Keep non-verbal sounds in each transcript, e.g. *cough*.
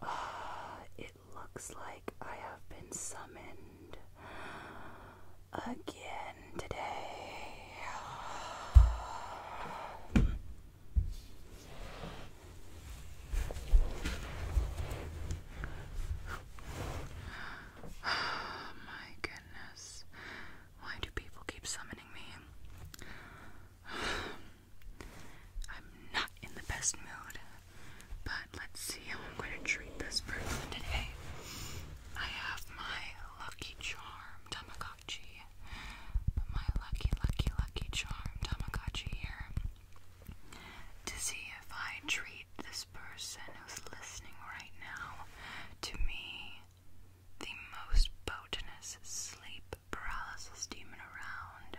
*sighs* it looks like I have been summoned again today. Oh *sighs* my goodness. Why do people keep summoning me? *sighs* I'm not in the best mood, but let's see how I'm going to treat this person today. I have my Lucky Charm Tamagotchi. My lucky, lucky, lucky charm Tamagotchi here. To see if I treat this person who's listening right now to me the most botanous sleep paralysis demon around.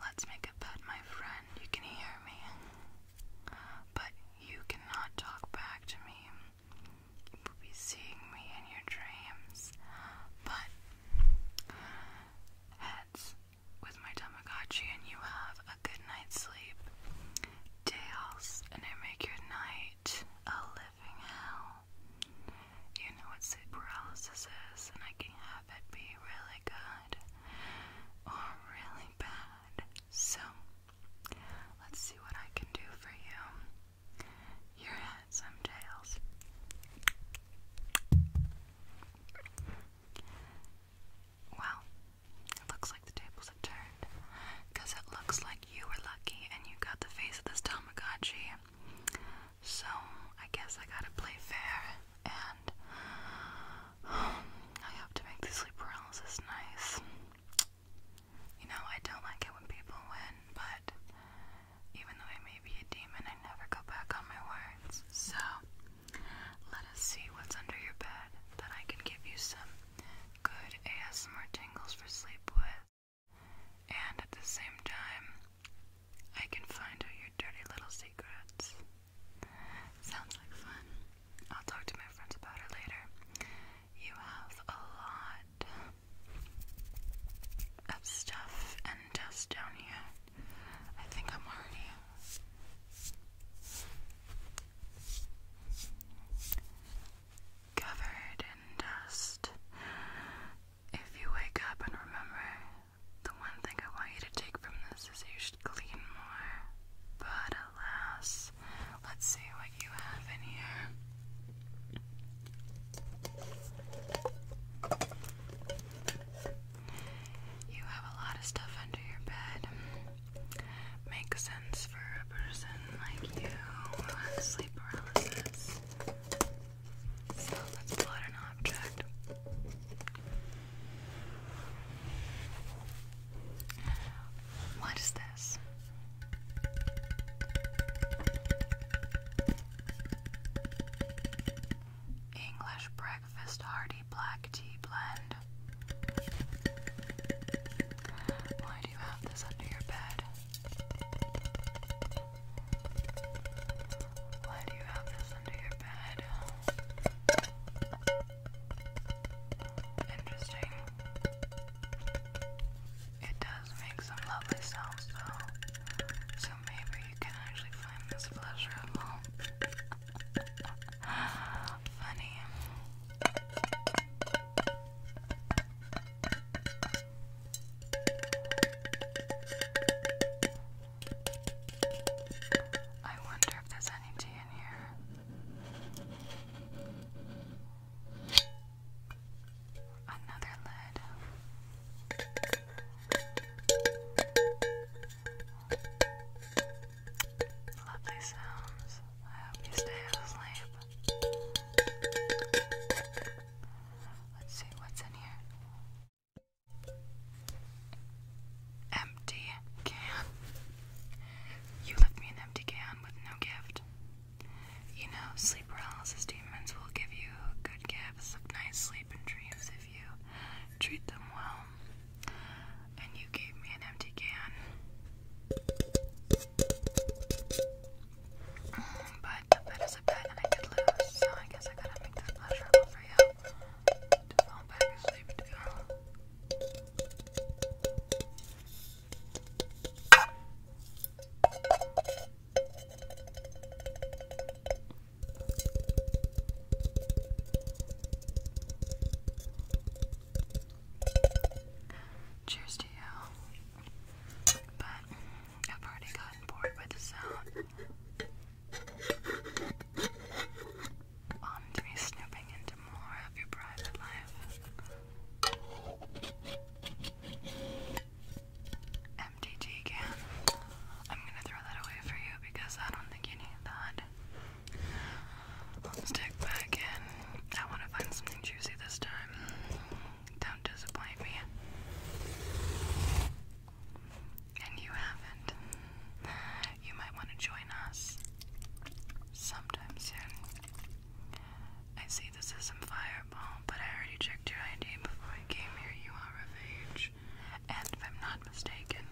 Let's make a bet, my friend. You can hear me, but you cannot talk back to me. You will be seeing me in your dreams. But heads with my Tamagotchi, and you have a good night's sleep. Tails, and I make your night a living hell. You know what sleep paralysis is, and I can have it be really good or really bad. So, let's see what I can do for you. Your head, some tails. Well, it looks like the table because it looks like you were lucky and you got the face of this Tamagotchi. So, I guess I gotta play fair. And um, I have to make this sleep paralysis nice. You know, I don't like it when people win, but even though I may be a demon, I never go back on my words. So, let us see what's under your bed that I can give you some good ASMR tingles for sleep with. And at the same time, I can find all your dirty little secrets. Sounds like fun. I'll talk to my friends about it later. You have a lot of stuff and dust down here. I think I'm already covered in dust. If you wake up and remember, the one thing I want you to take from this is you should clean more. But alas, let's see what you have in here. You have a lot of stuff under your bed make sense for a person like you who has sleep paralysis. So let's plot object. What is this? English breakfast hearty black tea blend. Why do Why do you have this under your bed? Interesting. It does make some lovely sounds though. So maybe you can actually find this pleasurable. *gasps* Funny. I wonder if there's any in here. Another lid. Lovely sounds. I hope you stay asleep. Let's see what's in here. Empty can. You left me an empty can with no gift. You know, sleep paralysis demons will give you good gifts of nice sleep and dreams if you treat them well. And you gave me an empty can. But that is a bet and I could lose, so I guess I gotta make this pleasurable for you to fall back asleep to. Cheers to you. But I've already gotten bored with the sound. On to be snooping into more of your private life. MTG can. I'm gonna throw that away for you because I don't think you need that. Let's dig back in. I want to find something juicy this time. Don't disappoint me. And you haven't. You might want to join us sometime soon. I see this is some fireball, but I already checked your ID before I came here. You are of age. And if I'm not mistaken,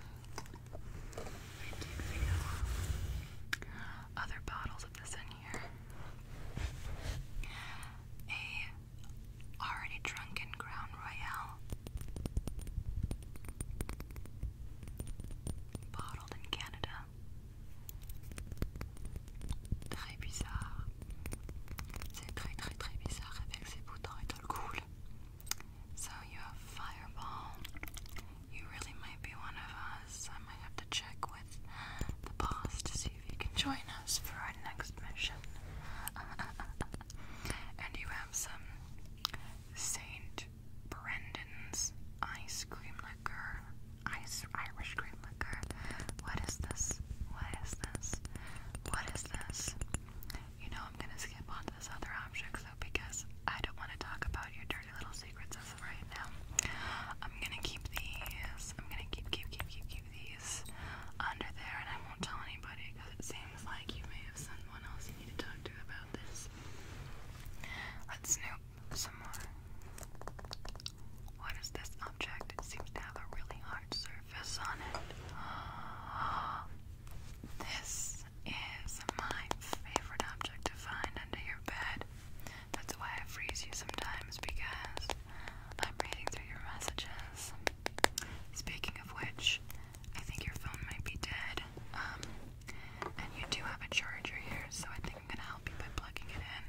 I did feel other bottles of this in here. A already drunken Crown Royale, bottled in Canada. Très bizarre. C'est très très très bizarre avec ses boutons et tout le cool. So you have fireball, you really might be one of us. I might have to check with the boss to see if you can join us for our next mission. *laughs* and you have some Saint Brendan's ice cream liquor. Ice Irish cream liquor. What is this? What is this? What is this? You know I'm gonna skip on this other object though because I don't want to talk about your dirty little secrets as of right now. I'm gonna keep these. I'm gonna keep, keep, keep, keep, keep these under there, and I won't tell anybody because it seems like you may have someone else you need to talk to about this. Let's snoop some more. What is this object? It seems to have a really hard surface on it. *gasps* This is my favorite object to find under your bed. That's why I freeze you sometimes because I'm reading through your messages. Speaking of which, I think your phone might be dead. Um, and you do have a charger here, so I think I'm gonna help you by plugging it in.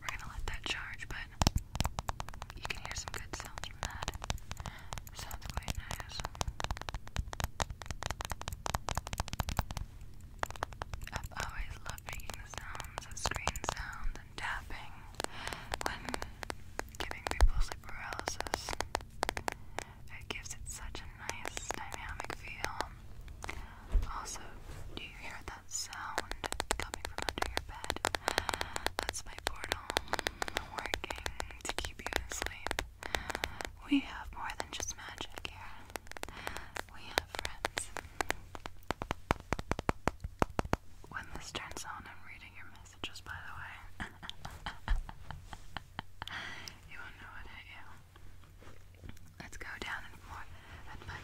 We're gonna let that charge, but you can hear some good sounds from that. Sounds quite nice. i always loved making sounds of screen sounds and tapping when giving people sleep paralysis. It gives it such a nice dynamic feel. Also, do you hear that sound coming from under your bed? That's my portal working to keep you asleep. We have more than just magic here. We have friends. When this turns on, I'm reading your messages, by the way. *laughs* you won't know it hit you. Let's go down and find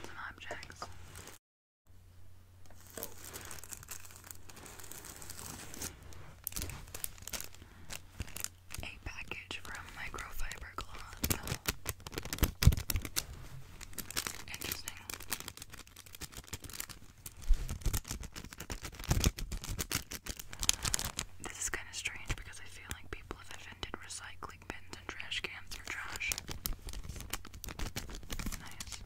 some objects a package from Microfiber Cloth. Interesting. This is kind of strange because I feel like people have invented recycling bins and trash cans for trash. Nice.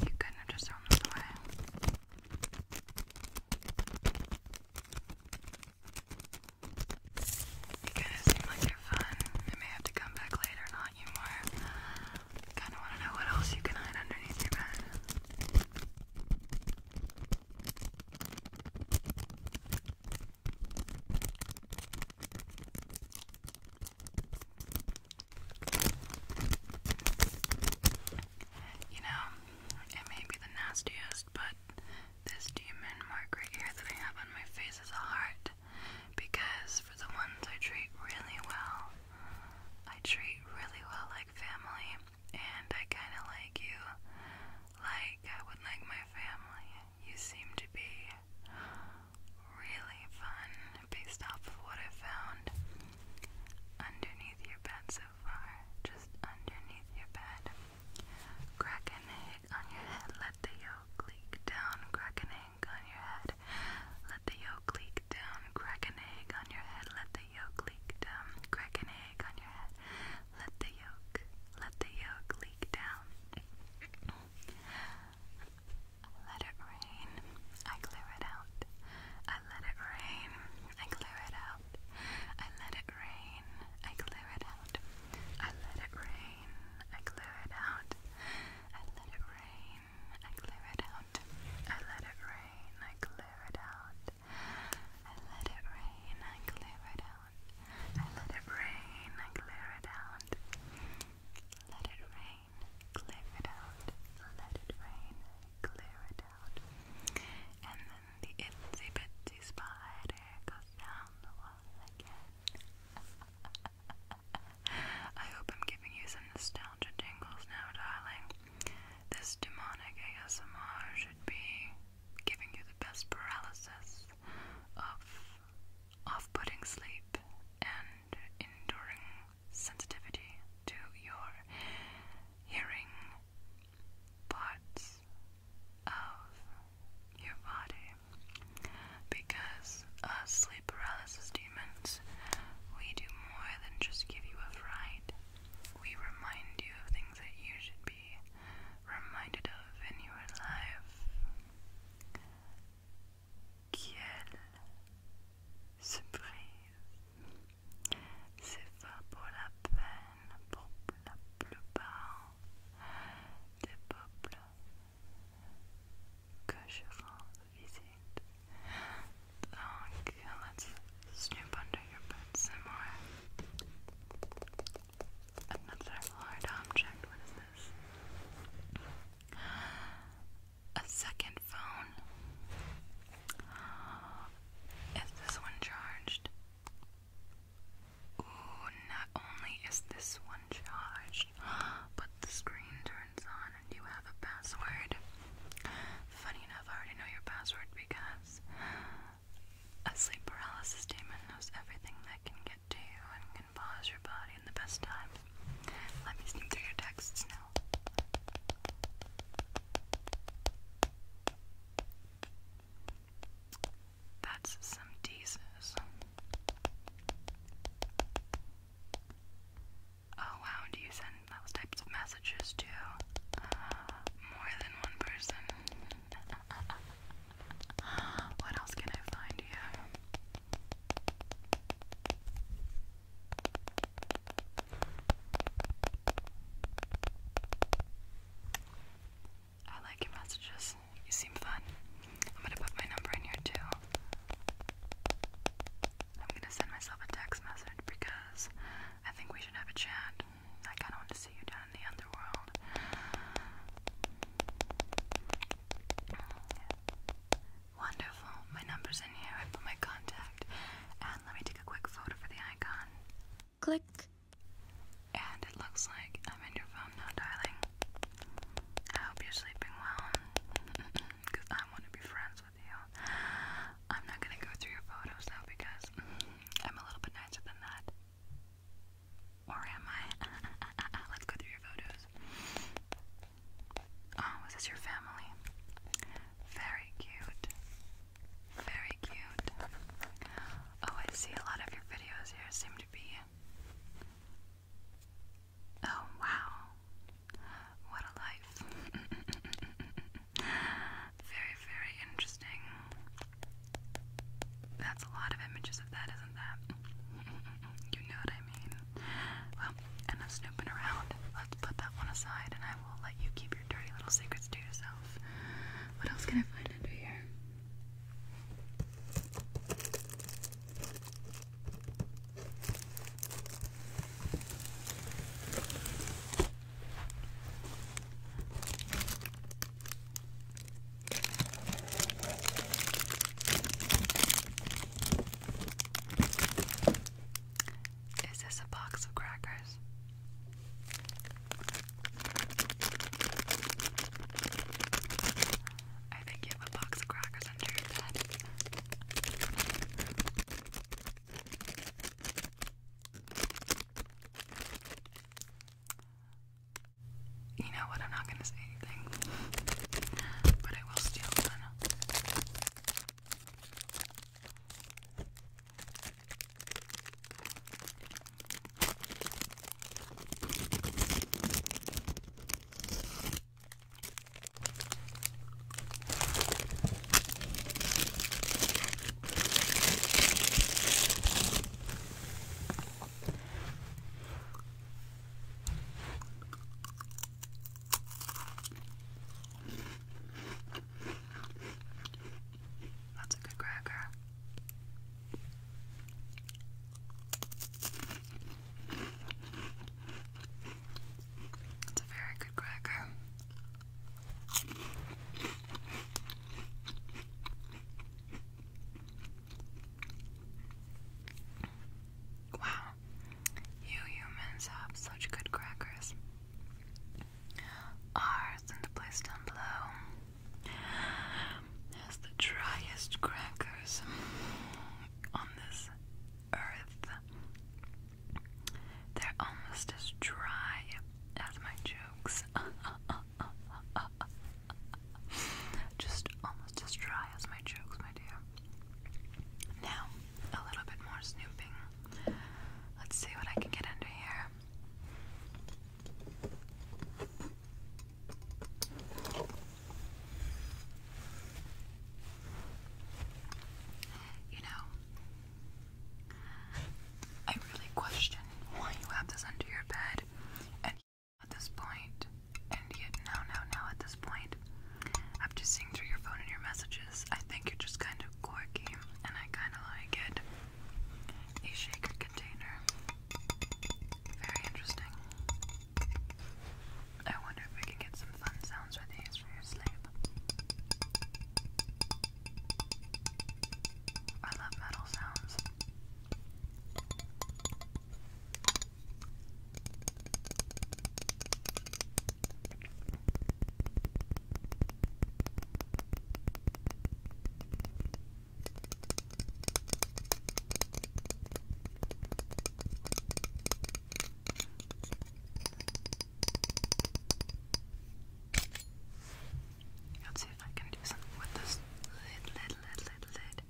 You couldn't just thrown this away. You kind of seem like you're fun. I may have to come back later and haunt you more. Kind of want to know what else you can hide underneath your bed. You know, it may be the nastiest, but this demon mark right here that I on my face is a heart because for the ones I treat really well, I treat really well like family and I kind of like you like I would like my family. You seem to be really fun based off of what I found underneath your bed so far. Just underneath your bed. Crack an egg on your head, let the yolk leak down. Crack an egg on your head, let the yolk leak down. Crack an egg on your head, let the the yolk leak down. Crack an egg on your head. Let the yolk, let the yolk leak down. Let it rain. I clear it out. I let it rain. I clear it out. I let it rain. I clear it out. I let it rain. I clear it out. I let it rain. I clear it out. I let it rain. I clear it out. I let it rain, I clear it out. I let it rain, I clear it out. Let it rain, clear it out. Let it rain, clear it out. And then the itsy bitsy spider goes down the wall again. *laughs* I hope I'm giving you some nostalgia jingles now, darling. This demonic ASMR should be giving you the best paralysis of off putting sleep and enduring sensitivity to your hearing parts of your body because as uh, sleep paralysis demons we do more than just give you a fright we remind you of things that you should be reminded of in your life. Quelle surprise! C'est pas pour la peine pour la plupart des peuples que je rends visite let's snoop under your bed some more. Another hard object. What is this? A second phone. Is this one charged? Ooh, not only is this one charged, *gasps* but the screen turns on and you have a password. Funny enough, I already know your password because a sleep paralysis demon knows everything that can get to you and can pause your body in the best time. Let me sneak through your texts now. That's some teases. Oh wow, do you send those types of messages to uh, more than one person. *laughs* what else can I find here? I like your messages. You seem fun. I'm gonna put my number in here too. I'm gonna send myself a text message because I think we should have a chat. I kind of want to see you down in the underworld. Wonderful. My number's in here. I put my contact. And let me take a quick photo for the icon. Click. And it looks like I'm in your phone now, darling. I hope you're sleeping well. Because *laughs* I want to be friends with I'm not gonna go through your photos though because I'm a little bit nicer than that. Or am I? *laughs* Let's go through your photos. Oh, is this your family? Very cute. Very cute. Oh, I see a lot of your videos here seem to be. Oh, wow. What a life. *laughs* Very, very interesting. That's a lot of images of that, isn't that? *laughs* you know what I mean. Well, enough snooping around. Let's put that one aside and I will let you keep your dirty little secrets to yourself. What else can I find under here? Is this a box of crackers? I think you have a box of crackers under your bed. You know what? I'm not gonna say anything, but I will steal one. That's a good cracker. It's a very good cracker. Wow, you humans have such good crackers. Ours in the place down below has the driest crackers on this earth. They're almost as dry as my jokes. *laughs* Just almost as dry as my jokes, my dear. Now, a little bit more snooping. Let's see what I can get under here. You know, I really question why you have this under your bed, and at this point, and yet now, now, now at this point, after seeing through your phone and your messages, I think you're just kind of quirky, and I kind of like it. A shaker container. Very interesting. I wonder if we can get some fun sounds with these for your sleep. I love metal sounds. Let's see if I can do something with this lid, lid, lid, lid, lid.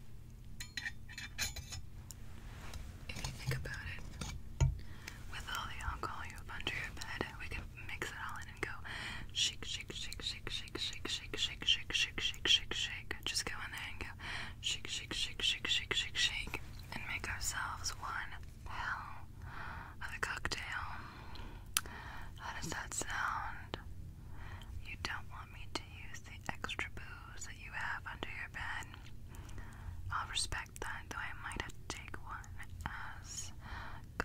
Okay, if you think about it, with all the alcohol you have under your bed, we can mix it all in and go shake, shake, shake, shake, shake, shake, shake, shake, shake, shake, shake, shake, shake. Just go in there and go shake, shake, shake, shake, shake, shake, shake, and make ourselves one hell of a cocktail. How does that sound? You don't want me to use the extra booze that you have under your bed. I'll respect that, though I might have to take one as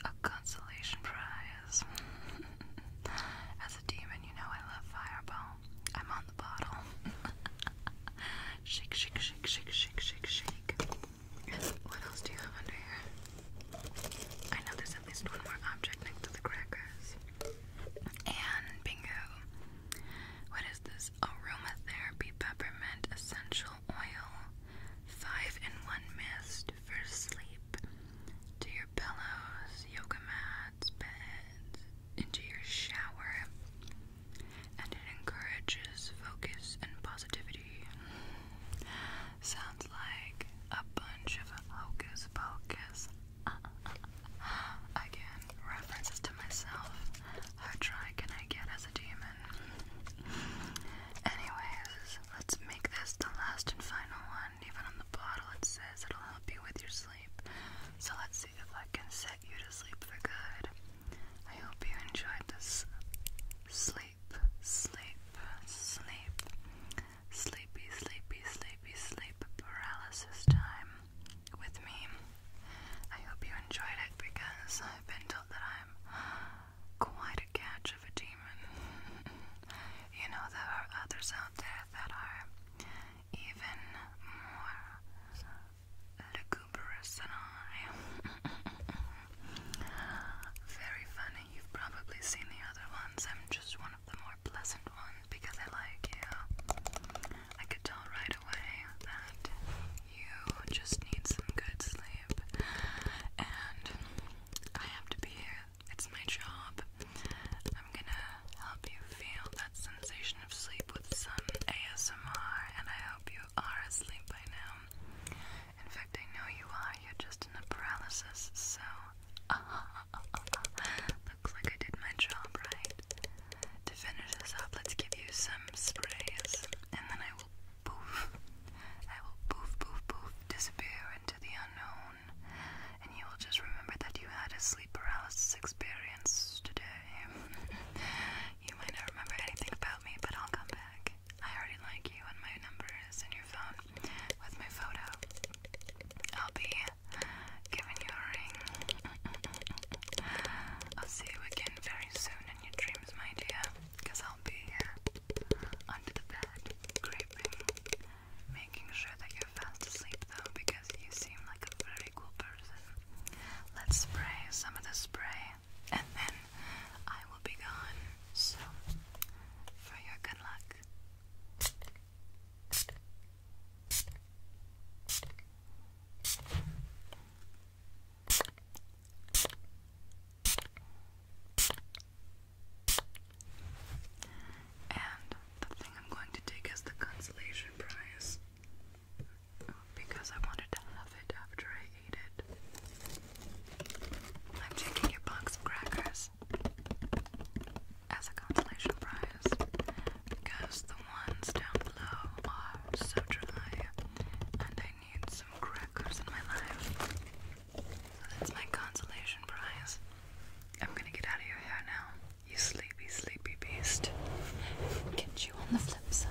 a consolation prize. *laughs* as a demon, you know I love Fireball. I'm on the bottle. *laughs* shake, shake, shake, shake, shake, shake, shake. What else do you have under here? I know there's at least one more object the crackers. And bingo. What is this? Aromatherapy peppermint essential oil. Five in one mist for sleep. To your pillows, yoga mats, beds, into your shower. And it encourages focus and positivity. Sounds like a bunch of hocus pocus *laughs* Again, references to myself. How dry can I get as a demon? Anyways, let's make this the last and final one. Even on the bottle, it says it'll help you with your sleep. So let's see if I can set you to sleep for good. I hope you enjoyed this sleep, sleep, sleep, sleepy, sleepy, sleepy, sleep paralysis time with me. I hope you enjoyed it because I've been told that I'm quite a catch of a demon. *laughs* you know, there are others out there that are even more lugubrious than I. *laughs* Very funny. You've probably seen the other ones. I'm just one the more pleasant one because I like you. I could tell right away that you just need some good sleep, and I have to be here. It's my job. I'm gonna help you feel that sensation of sleep with some ASMR, and I hope you are asleep by now. In fact, I know you are. You're just in a paralysis, so *laughs* Looks like I did my job right. To finish this up, let's give you some sprays, and then I will poof. I will poof, poof, poof, disappear into the unknown, and you will just remember that you had a sleep paralysis experience today. *laughs* you might not remember anything about me, but I'll come back. I already like you, and my number is in your phone with my photo. I'll be giving you a ring. *laughs* I'll see you again very soon in your dreams, my dear, because I'll be here under the bed, creeping, making sure that you're fast asleep, though, because you seem like a very cool person. Let's spray some of the spray, and then I will be gone. So, for your good luck. And the thing I'm going to take is the consolation prize because I wanted to have it after I ate it. I'm taking your box of crackers as a consolation prize because the ones down below are so dry and I need some crackers in my life. So that's my consolation prize. I'm gonna get out of your hair now, you sleepy, sleepy beast. Get you on the flip side.